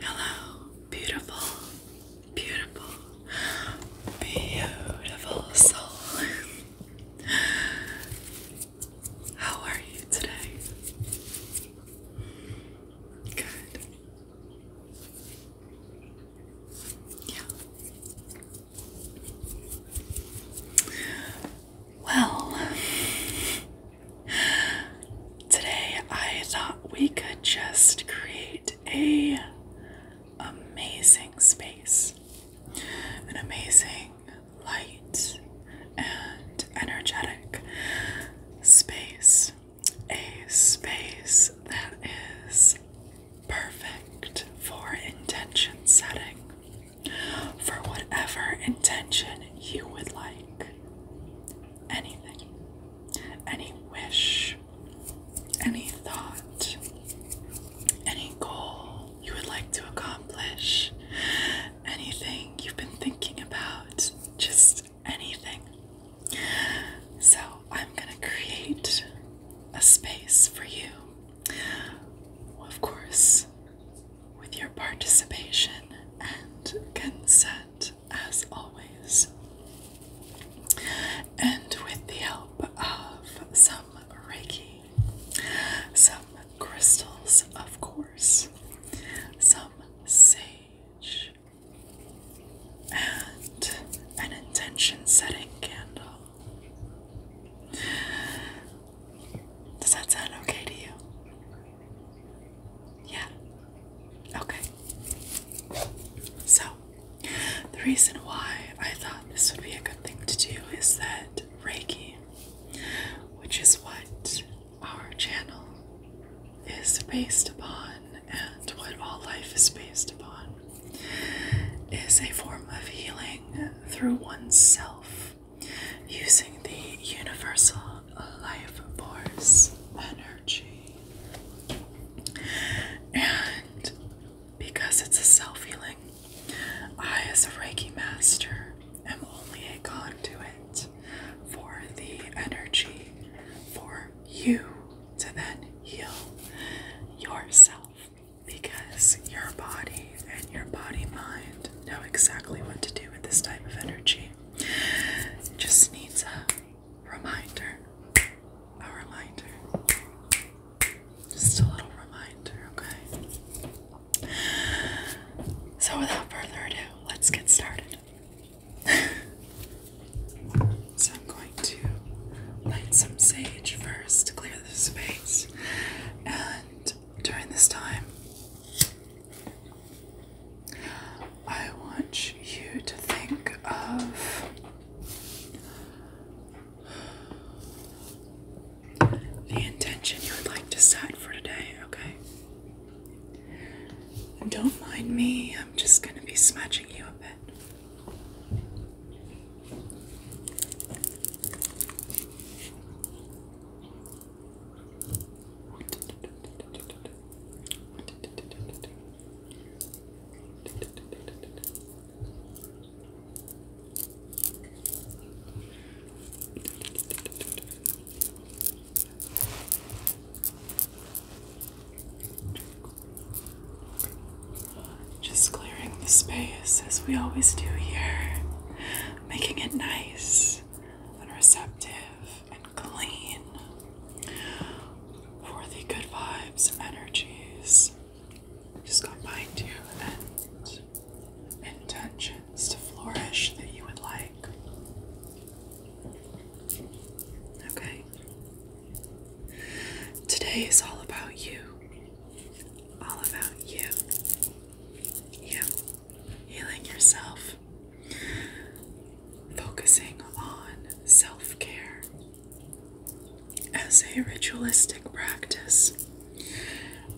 Hello, beautiful, beautiful, beautiful soul. How are you today? Good. Yeah. Well, today I thought we could just create a amazing space. An amazing light and energetic space. A space that is perfect for intention setting for whatever intention you would like. Anything, any wish, any thought, any goal you would like to accomplish, anything you've been thinking about, just anything. So, I'm going to create a space for you. Of course, with your participation and consent, as always, and with the help of some Reiki, some crystals, of course, some sage, and an intention setting candle. Does that sound okay to you? Yeah. Okay. So, the reason why I thought this would be a good thing to do is that Reiki, which is what our channel is based upon and what all life is based upon, is a form of healing through oneself using the universal life force energy. And because it's a self healing, I, as a Reiki master, am only a conduit for the energy for you to then heal yourself because your body and your body mind know exactly what to do with this type of energy. It just needs a reminder. A reminder. Just a little reminder, okay? So, without further ado, let's get started. so, I'm going to light some sage first to clear the space and during this time. I want you to think of the intention you would like to set for today, okay? don't mind me, I'm just going to be smudging you a bit. Just clearing the space as we always do here making it nice and receptive and clean for the good vibes, energies. Just combined you and intentions to flourish that you would like. Okay. Today is all about you. All about you. You healing yourself, focusing on self care as a ritualistic practice,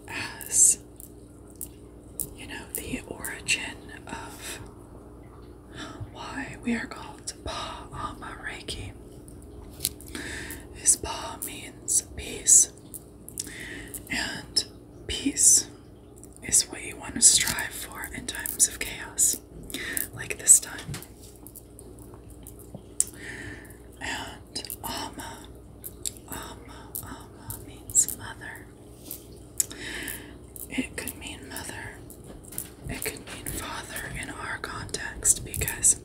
as you know, the origin of why we are called Pa Ama Reiki. His Pa means peace, and peace is what you want to strive for in times of chaos, like this time. And Amma, Amma, Amma means mother. It could mean mother, it could mean father in our context because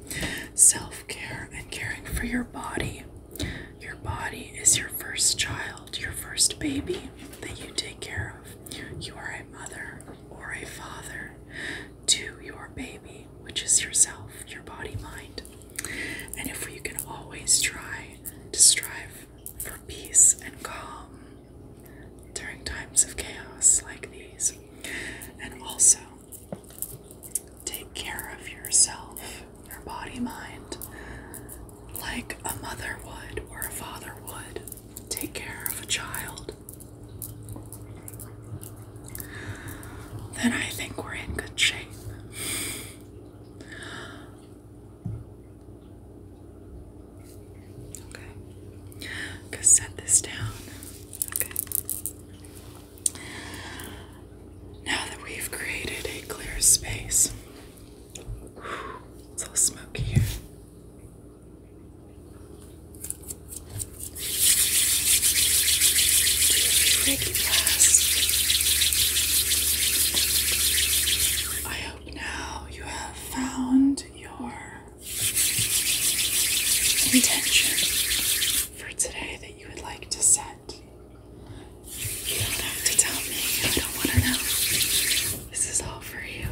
self care and caring for your body your body is your first child, your first baby that you take care of. You are a mother or a father to your baby, which is yourself, your body, mind. And if we can always try to strive for peace and calm during times of chaos like these, and also take care of yourself, your body, mind, like a mother would or a father would take care of a child, then I think we're in good shape. Okay. i set this down. Okay. Now that we've created a clear space, it's all smoky here. I hope now you have found your intention for today that you would like to set. You don't have to tell me. I don't want to know. This is all for you.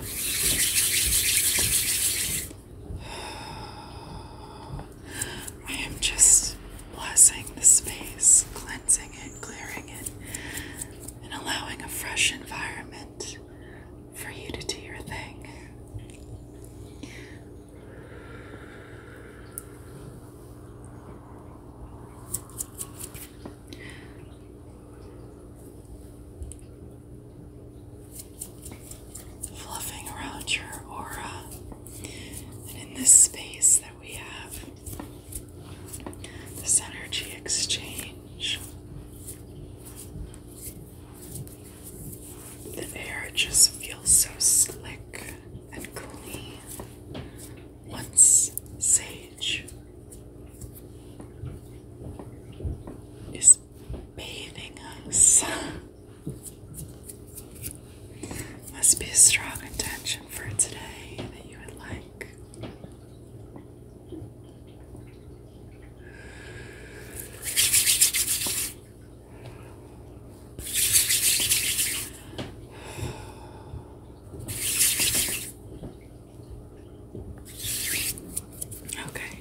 I am just blessing the space, cleansing it, clearing it, and allowing a fresh environment for you to do your thing fluffing around your aura. And in this space that we have, this energy exchange, the air just feels so slick and clean. Once Sage is bathing us, must be a strong intention for today that you would like. Okay.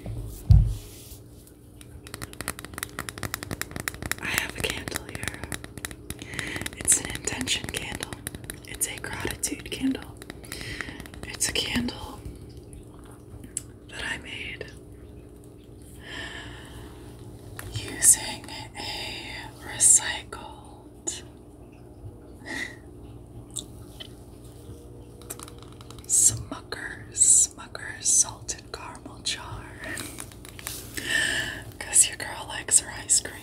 I have a candle here. It's an intention candle. It's a gratitude candle. It's a candle that I made using a recycle. Smucker's, Smucker's salted caramel jar. Because your girl likes her ice cream.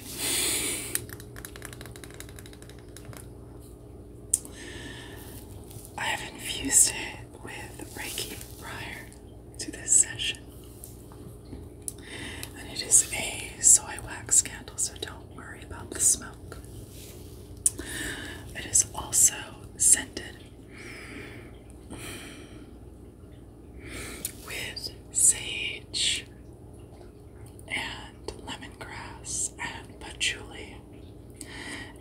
I have infused it with Reiki Briar to this session. And it is a soy wax candle, so don't worry about the smoke. It is also scented with sage and lemongrass and patchouli.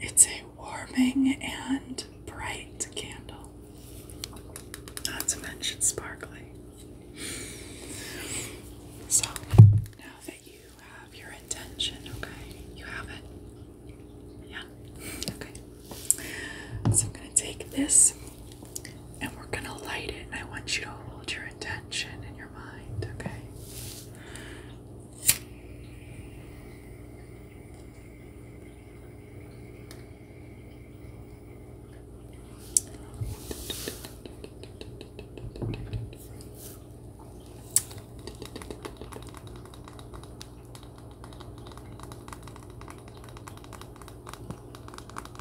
It's a warming and bright candle, not to mention sparkly. So, now that you have your intention, okay? You have it? Yeah? Okay. So, I'm going to take this and we're going to light it, and I want you to hold your intention in your mind, okay?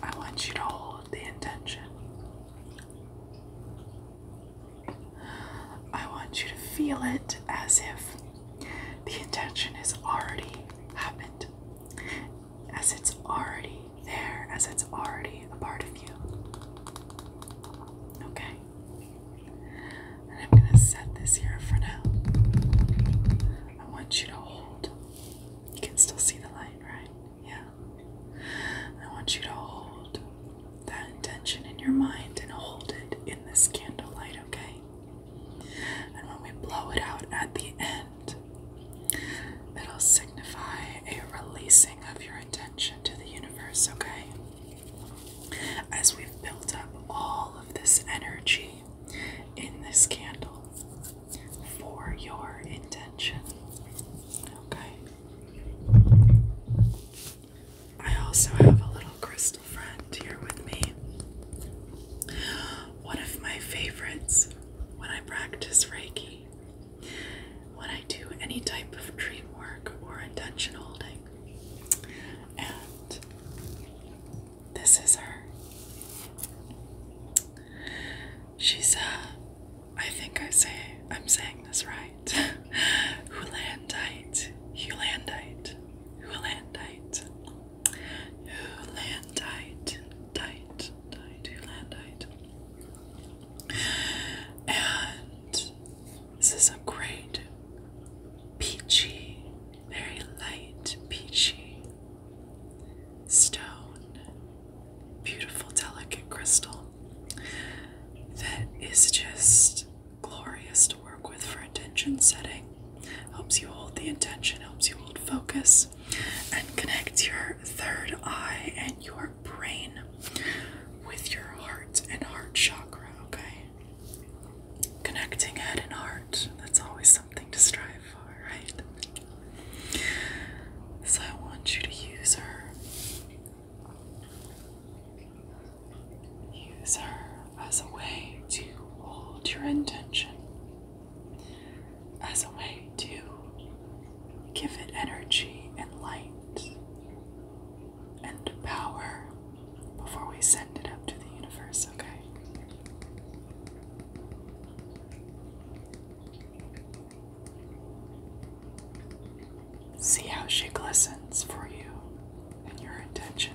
I want you to hold the intention. I want you to feel it as if the intention has already happened as it's already there, as it's already a part of you. Okay? I'm going to set this here for now. I want you to hold. You can still see the light, right? Yeah. I want you to hold that intention in your mind and hold it in this candlelight, okay? And when we blow it out at the end, It'll signify a releasing of your intention to the universe, okay? As we've built up all of this energy in this candle for your intention, okay? I also have a little crystal friend here with me. One of my favorites when I practice Reiki, when I do any type of dream work or intention holding. And this is her. She's, uh, I think I say, I'm saying this right. Hulandite, Hulandite, Hulandite who land tight, tight, And this is a great peachy, very light peachy stone, beautiful, delicate crystal that is just glorious to work with for intention setting. Helps you hold the intention, helps you hold focus and connect your third eye and your brain with your heart and heart chakra, okay? Connecting head and heart, that's always something to strive for, right? So I want you to use her. Use her as a way to hold your intention as a way to give it energy and light and power before we send it up to the universe, okay? See how she glistens for you and your intention.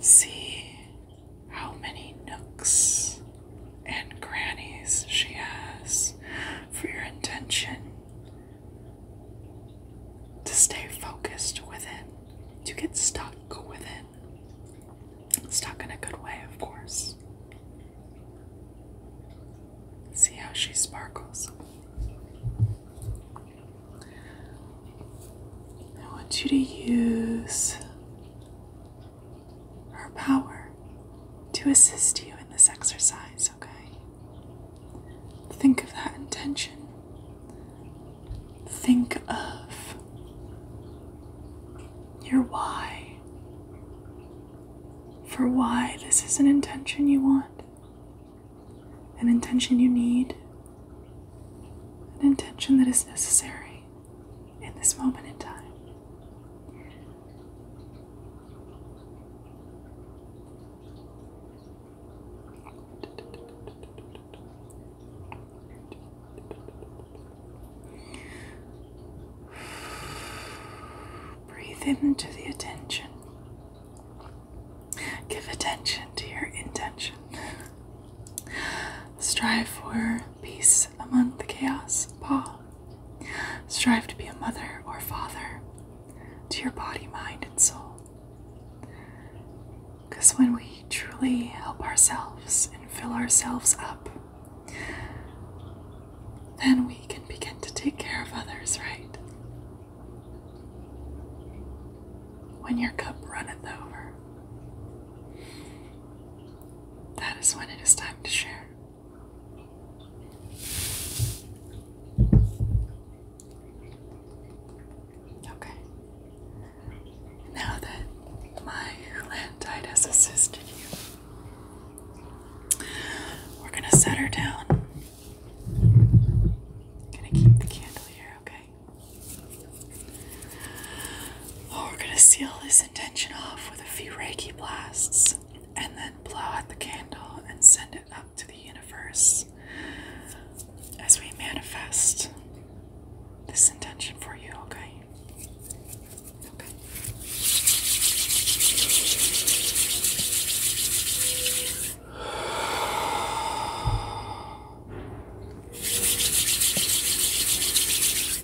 See how many nooks and crannies she has for your intention to stay focused within, to get stuck within. Stuck in a good way, of course. See how she sparkles. I want you to use her power to assist you in this exercise, okay? Think of that intention. Think of your why. For why this is an intention you want, an intention you need, an intention that is necessary in this moment in time. Breathe into the attention. Give attention to your intention. Strive for peace among the chaos, Paul. Strive to be a mother or father to your body, mind, and soul. Because when we truly help ourselves and fill ourselves up, then we can begin to take care of others, right? When your cup runneth over. That is when it is time to share. Okay. Now that my Landite has assisted you, we're going to set her down. going to keep the candle here, okay? we're gonna seal this intention off with a few Reiki blasts and then blow out the candle and send it up to the universe as we manifest this intention for you, okay? Okay.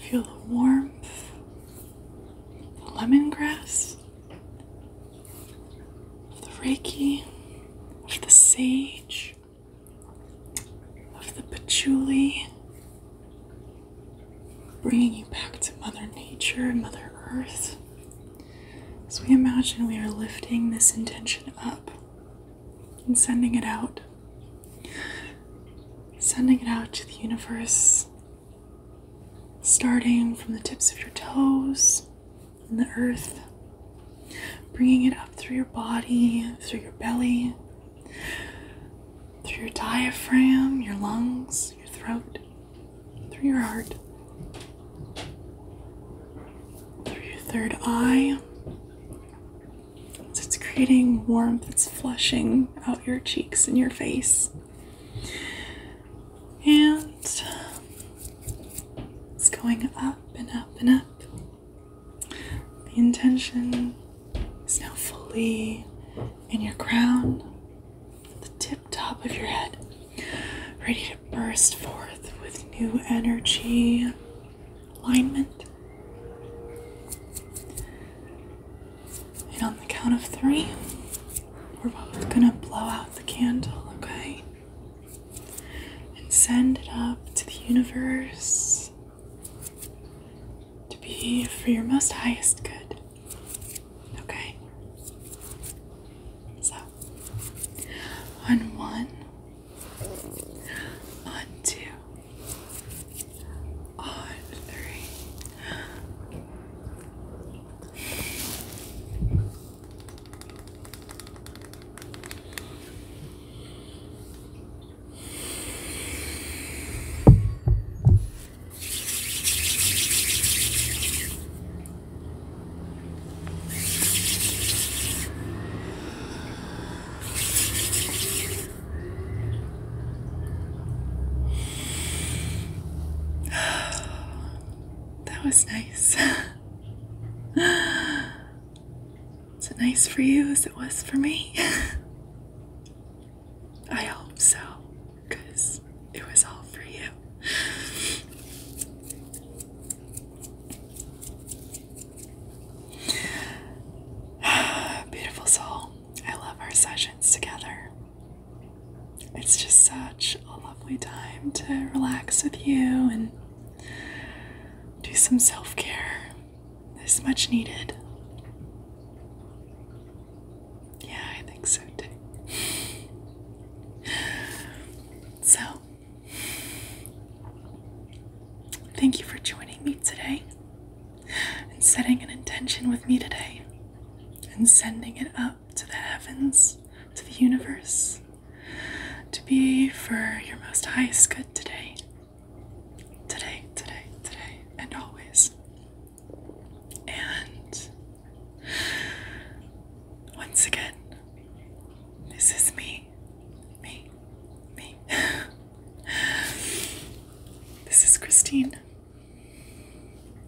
Feel the warmth, the lemongrass, of the reiki, of the sage, of the patchouli, bringing you back to Mother Nature and Mother Earth. As we imagine we are lifting this intention up and sending it out. Sending it out to the universe, starting from the tips of your toes and the earth, bringing it up through your body, through your belly, through your diaphragm, your lungs, your throat, through your heart, through your third eye, it's creating warmth, it's flushing out your cheeks and your face. And it's going up and up and up. The intention is now fully in your crown, the tip top of your head, ready to burst forth with new energy, alignment. And on the count of three, we're both gonna blow out the candle, okay? And send it up to the universe to be for your most highest good. Okay? So, on one, on two on three. that was nice. Is it nice for you as it was for me? I hope so, because it was all for you. Beautiful soul. I love our sessions together. It's just such a lovely time to relax with you and do some self care. It's much needed. Yeah, I think so so, thank you for joining me today and setting an intention with me today and sending it up to the heavens, to the universe, to be for your most highest good today. Today, today, today, and always. And once again, this is me, me, me. This is Christine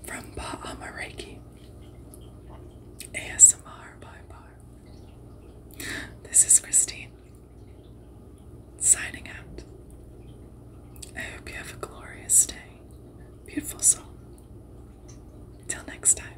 from Ba'ama Reiki. ASMR by Bar. This is Christine signing out. I hope you have a glorious day, beautiful soul. Till next time.